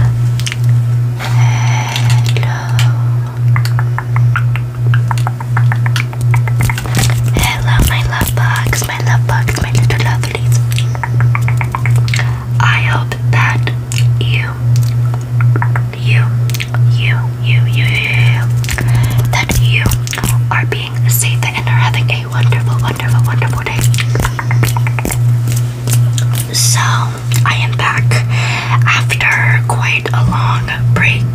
Hello, my love bugs, my love bugs, my little lovelies. I hope that you, you, you, you, you, you, that you are being safe and are having a wonderful, wonderful, wonderful day. So, I am back after quite a long break.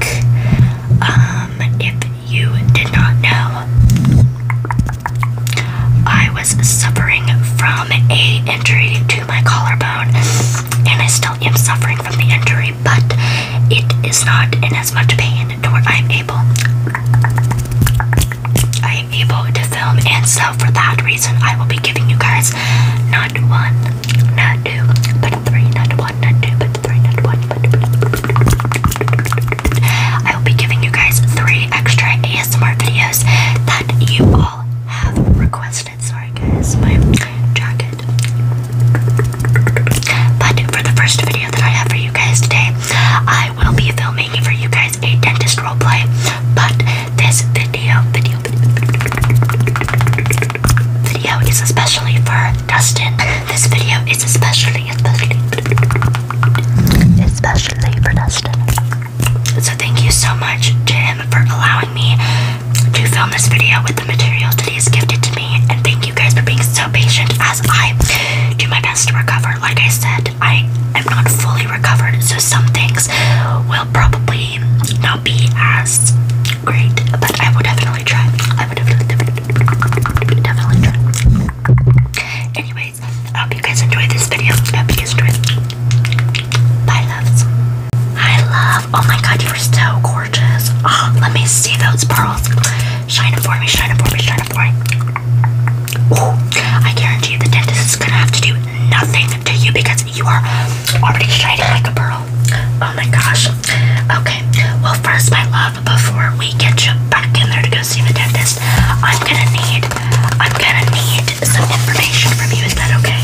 Um, if you did not know, I was suffering from a injury to my collarbone, and I still am suffering from the injury, but it is not in as much pain to I'm able able to film, and so for that reason, I will be giving you guys not one, not two, but three, not one, not two, but three, not one, but I will be giving you guys three extra ASMR videos that you all have requested. Sorry, guys, my jacket. But for the first video that I have for you guys today, I will be filming for you guys is a dentist roleplay, but this video, video, video is especially for Dustin. This video is especially, especially, especially for Dustin. So thank you so much, Jim, for allowing me to film this video with the materials that he has gifted to me, and thank you guys for being so patient as I do my best to recover. Like I said, I am not fully recovered, so some things will probably not be as great, but I will definitely try. I would definitely, definitely, try. Anyways, I hope you guys enjoyed this video. I hope you guys enjoyed Bye, loves. Hi, love. Oh my god, you are so gorgeous. Oh, let me see those pearls. Shine them for me, shine for me, shine for me. Oh, I guarantee the dentist is gonna have to do nothing to you because you are already shining like a pearl. Oh my gosh. Okay. Well, first, my love, before we get you back in there to go see the dentist, I'm gonna need, I'm gonna need some information from you. Is that okay?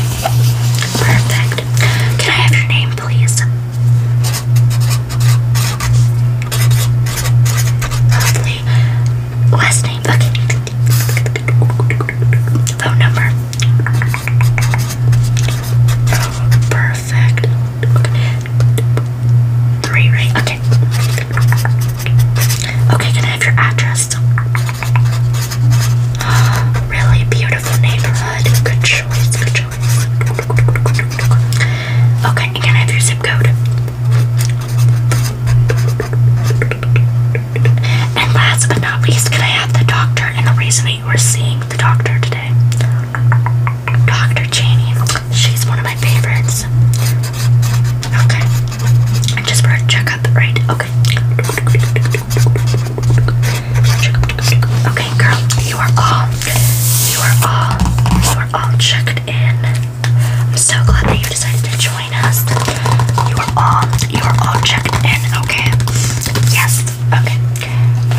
Perfect. Can I have your name, please? Lovely last name. Okay. Phone number. perfect. Okay. Three, right? Okay. Okay, can I have your address? really beautiful neighborhood. Good choice. Good choice. Okay, can I have your zip code? And last but not least, can I have the doctor and the reason that you were seeing the doctor today? Dr. Cheney. She's one of my favorites. Okay. Just for a checkup, right? Okay. Okay, girl, you are all, you are all, you are all checked in. I'm so glad that you decided to join you are all you are all checked in, okay? Yes, okay.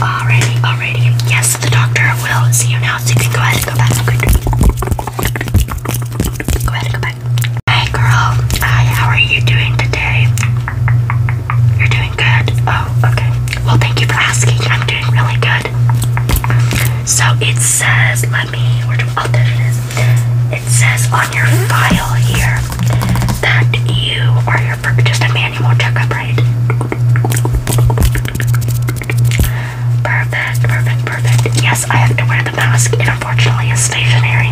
Alrighty, alrighty. Yes, the doctor will see you now, so you go ahead and go ahead and go girl, hi, how are you doing today? You're doing good. Oh, okay. Well, thank you for asking. I'm doing really good. So it says, let me, where do, oh, there it is it says on your file here that you are your for just a manual checkup, right? Perfect, perfect, perfect. Yes, I have to wear the mask. It unfortunately is stationary.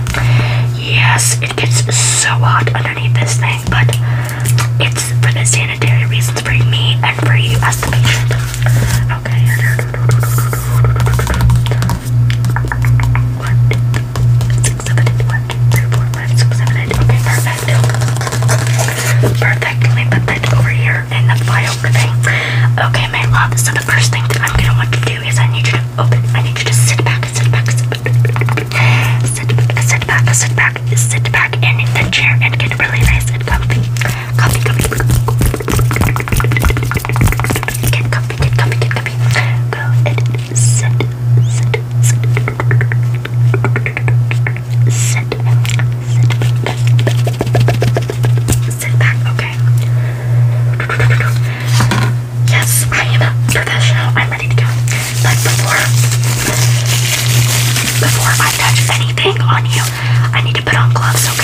Yes, it gets so hot underneath this thing, but it's for the sanitary reasons for me and for you as the patient. Okay. One, six, seven, eight, one, two, three, four, five, six, seven, eight. Okay, perfect. Perfect. Let me put that over here in the file thing. Okay, my love. So the first thing that I'm gonna want to do is I need you to open. I need you to sit back, sit back, sit back, sit back, sit back, sit back, sit back in the chair and get really nice and comfy. Comfy, comfy. Get comfy, get comfy, get comfy. Go and sit, sit, sit, sit, sit, back. Okay. Yes, I am a professional. I'm ready to go. But before, before I touch anything on you, I need to put on gloves. Okay.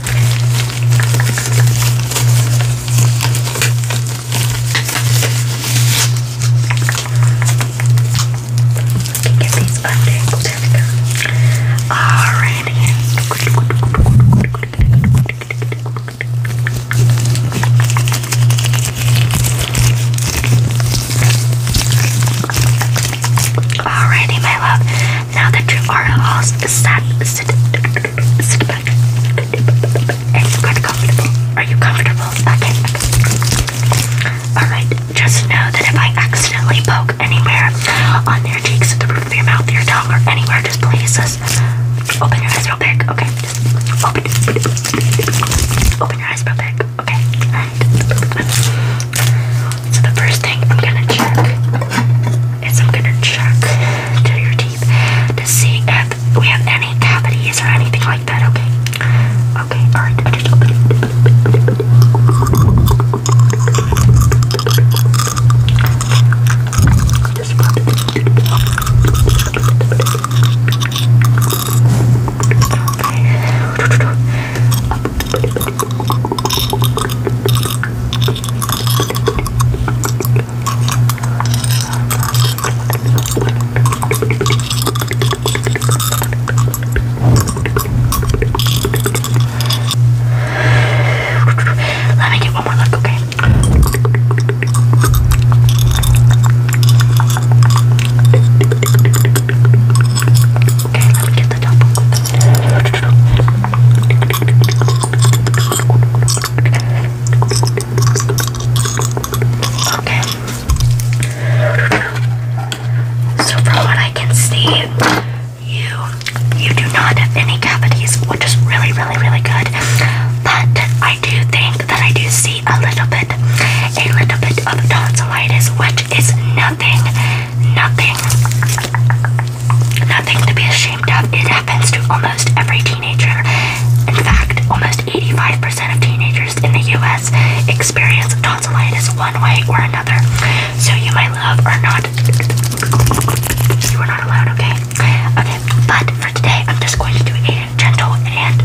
Get these under. There we go. Alrighty. Alrighty, my love. Now that you are all house, sat, sit, sit back. And you got comfortable. Are you comfortable? Okay. Alright, just know that if I accidentally poke anywhere on your cheeks, the roof of your mouth, your tongue, or anywhere, just please open your eyes real big. Okay, open, open your eyes real big. Okay, alright. So the first thing I'm gonna check is I'm gonna check your teeth to see if we have any cavities or anything like that. Okay. Okay. All right. I just open it. Okay. Let me get one more look, okay? Okay, let me get the top one quick. Okay. So from what I can see, you you do not have any cavities, which is really, really, really good. But I do think that I do see a little bit, a little bit of tonsillitis, which is nothing nothing. Nothing to be ashamed of. It happens to almost every teenager. In fact, almost 85% of teenagers in the US experience tonsillitis one way or another. So you, might love, or not. You are not allowed, okay? Okay, but for today, I'm just going to do a gentle and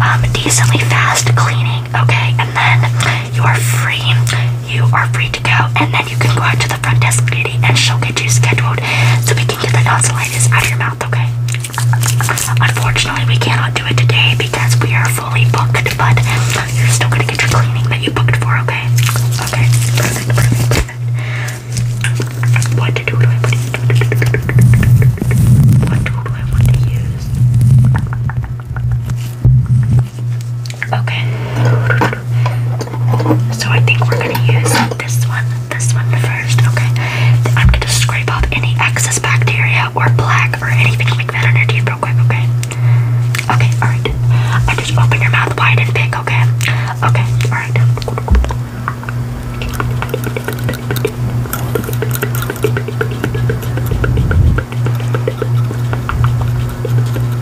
um, decently fast cleaning, okay? And then you are free you are free to go, and then you can go out to the front desk lady and she'll get you scheduled so we can get the tonsillitis out of your mouth, okay? Unfortunately, we cannot do it today because we are fully booked, but you're still gonna get your cleaning that you booked for, okay? Okay, what tool do I want to use? Okay. So I think we're gonna use this one, this one first, okay? I'm gonna scrape off any excess bacteria or plaque or anything like that on your teeth real quick, okay? Okay, alright. I just open your mouth wide and big, okay? Okay, alright.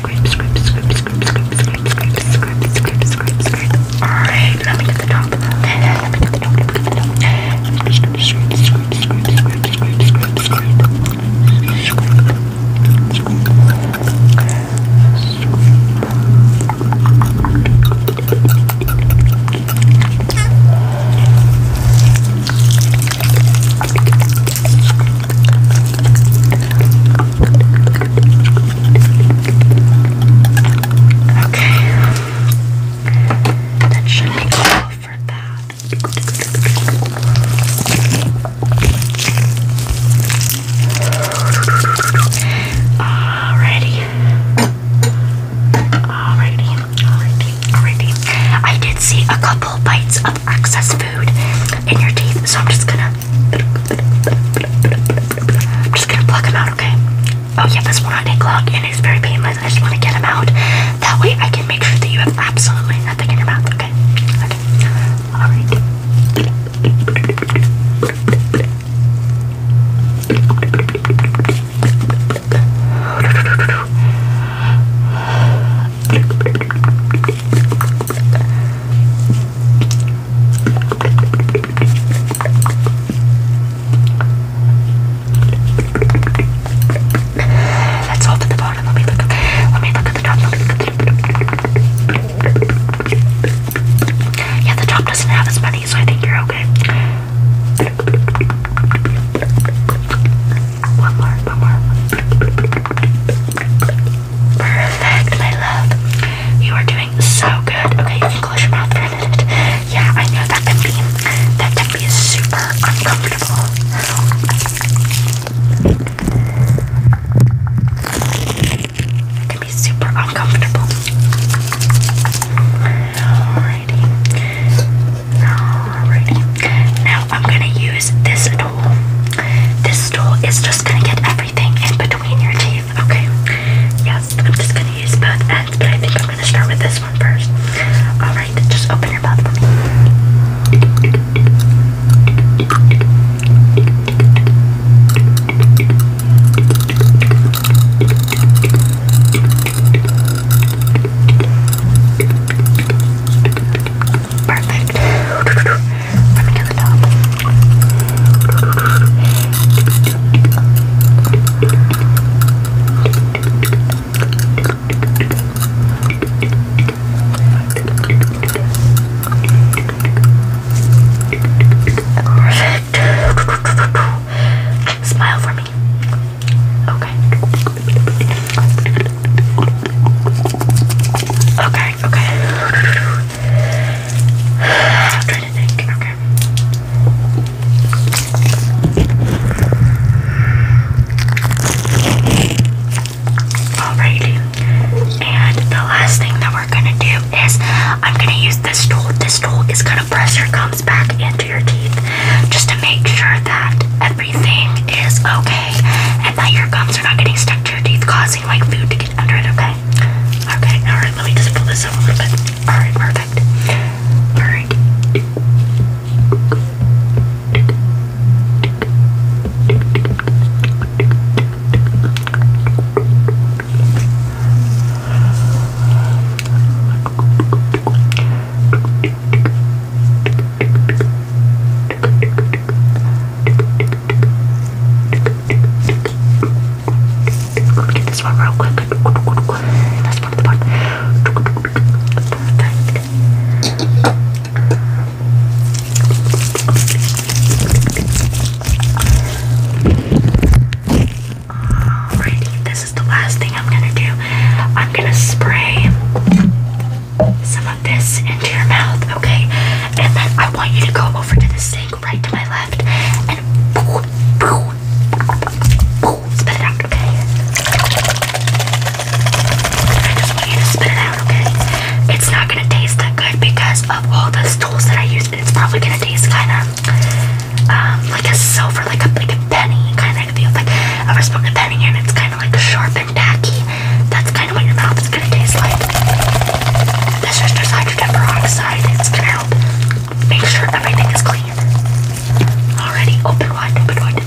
scrape, scrape, scrape, scrape, scrape, scrape, scrape, scrape, scrape, scrape, scrape. Alright, let me get the top. Let me get the top, let me get the top. Let me just scrape, scrape, scrape, scrape, scrape, scrape, scrape. Scrape. Okay, that should be all for that. Alrighty. Alrighty, alrighty, alrighty. I did see a couple bites of Access food in your teeth. So I'm just gonna, I'm just gonna pluck them out, okay? Oh yeah, this will not take and it's very painless. I just want to get them out. That way I can make sure that you have absolutely nothing in your mouth, okay? Okay. All right. Let's open the bottom. Let me look. Let me look at the top. Let me look at the Yeah, the top doesn't have as many, so I think you're okay. One more, one more. Perfect, my love. You are doing so good. Okay, you can close your mouth for a minute. Yeah, I know that can be that can be super uncomfortable. can be super uncomfortable. Alrighty. Alrighty. Now I'm gonna use this this stool is just gonna get everything in between your teeth, okay? Yes, I'm just gonna use both ends, but I think I'm gonna start with this one first. Alright, just open your mouth for me. Perfect. Let me get the top. Perfect. Smile for me. Okay. Okay, okay. I'm trying to think. Okay. Alrighty. And the last thing that we're gonna do is I'm gonna use this tool. This tool is gonna press your gums back into your teeth just to make sure that at everything is okay and that your gums are not getting stuck to your teeth, causing like food to get under it, okay? Okay, alright, let me just pull this up a little bit. Alright, perfect. Alright. Get this one real quick. That's one of the part. Alrighty, this is the last thing I'm gonna do. I'm gonna spray some of this into your mouth, okay? And then I want you to go over to the sink right to my left and boo, boo, boo, spit it out, okay? I just want you to spit it out, okay? It's not gonna taste that good because of all the tools that I use. It's probably gonna taste kind of um, like a silver, like a like a penny, kind of like like I've spoken a penny, and it's kind of like sharp and tacky. That's kind of what your mouth is gonna taste like. This is just hydrogen peroxide. It's gonna help make sure everything is clean. Already, open wide, open wide.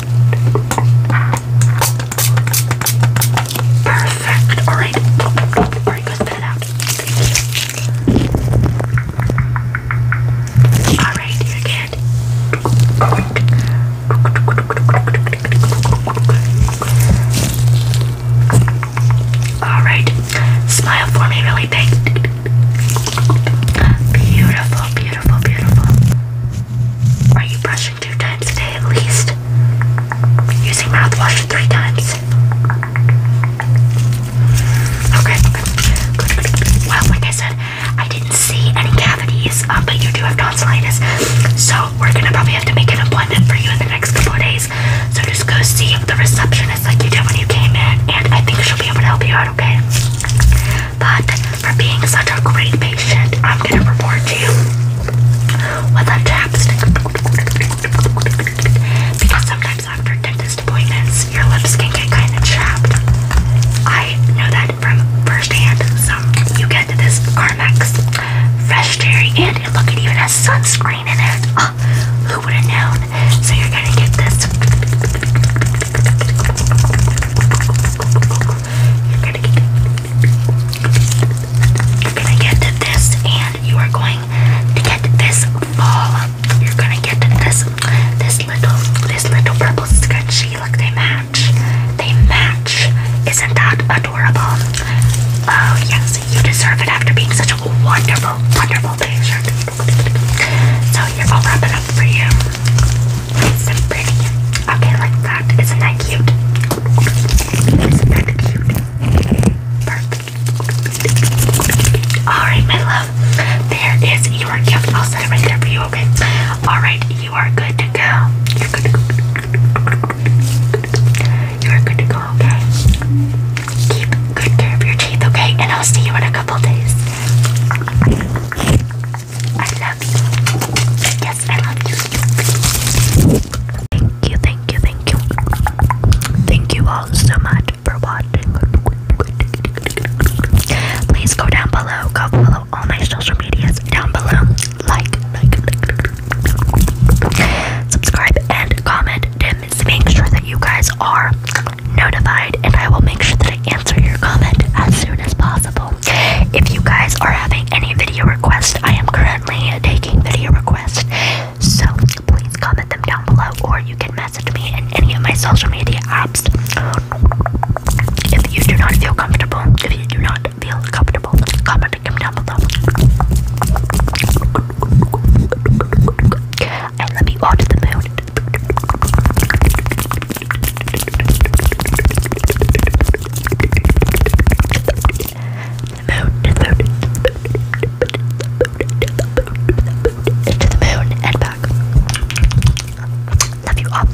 Perfect. All right. All right, go out. All right, you're good. Alright, smile for me really big. Beautiful, beautiful, beautiful. Are you brushing two times a day at least? Using mouthwash three times. Okay, Well, like I said, I didn't see any cavities, uh, but you do have tonsillitis. So we're gonna probably have to make an appointment for you in the next couple days. So just go see the receptionist like you did when you came in, and I think she'll be able to help you out, okay? But for being such a great patient, I'm gonna reward you with a chapstick. Because sometimes after dentist appointments, your lips can get kind of chapped. I know that from firsthand, so you get this Carmex fresh dairy, and it, look, it even has sunscreen in it. Oh, who would have known? So you're gonna get this. You're gonna get, you're gonna get this, and you are going to get this ball. You're gonna get this, this little, this little purple scrunchie. Look, they match match. They match. Isn't that adorable? Oh, yes, you deserve it after being such a wonderful, wonderful patient. So, I'll wrap it up for you. It's so pretty. Okay, like that. Isn't that cute? Isn't cute? Perfect. Alright, my love. There is your gift. I'll set it right there for you, okay? Alright, you are good to go. You're good to go. You are good to go, okay? Keep good care of your teeth, okay? And I'll see you in a couple days. I love you. Yes, I love you. Thank you, thank you, thank you. Thank you all so much for watching. Please go down below, go below all my social medias down below. Like, like, like, subscribe and comment to make sure that you guys are notified and I will make sure that I answer your comment as soon as possible. If you guys are having any video requests, I am currently taking video requests. So please comment them down below or you can message me in any of my social media apps. If you do not feel comfortable, if you do not feel comfortable, comment comment down below. I love you all to the moon. The moon, to the moon, to the moon, and back. Love you all.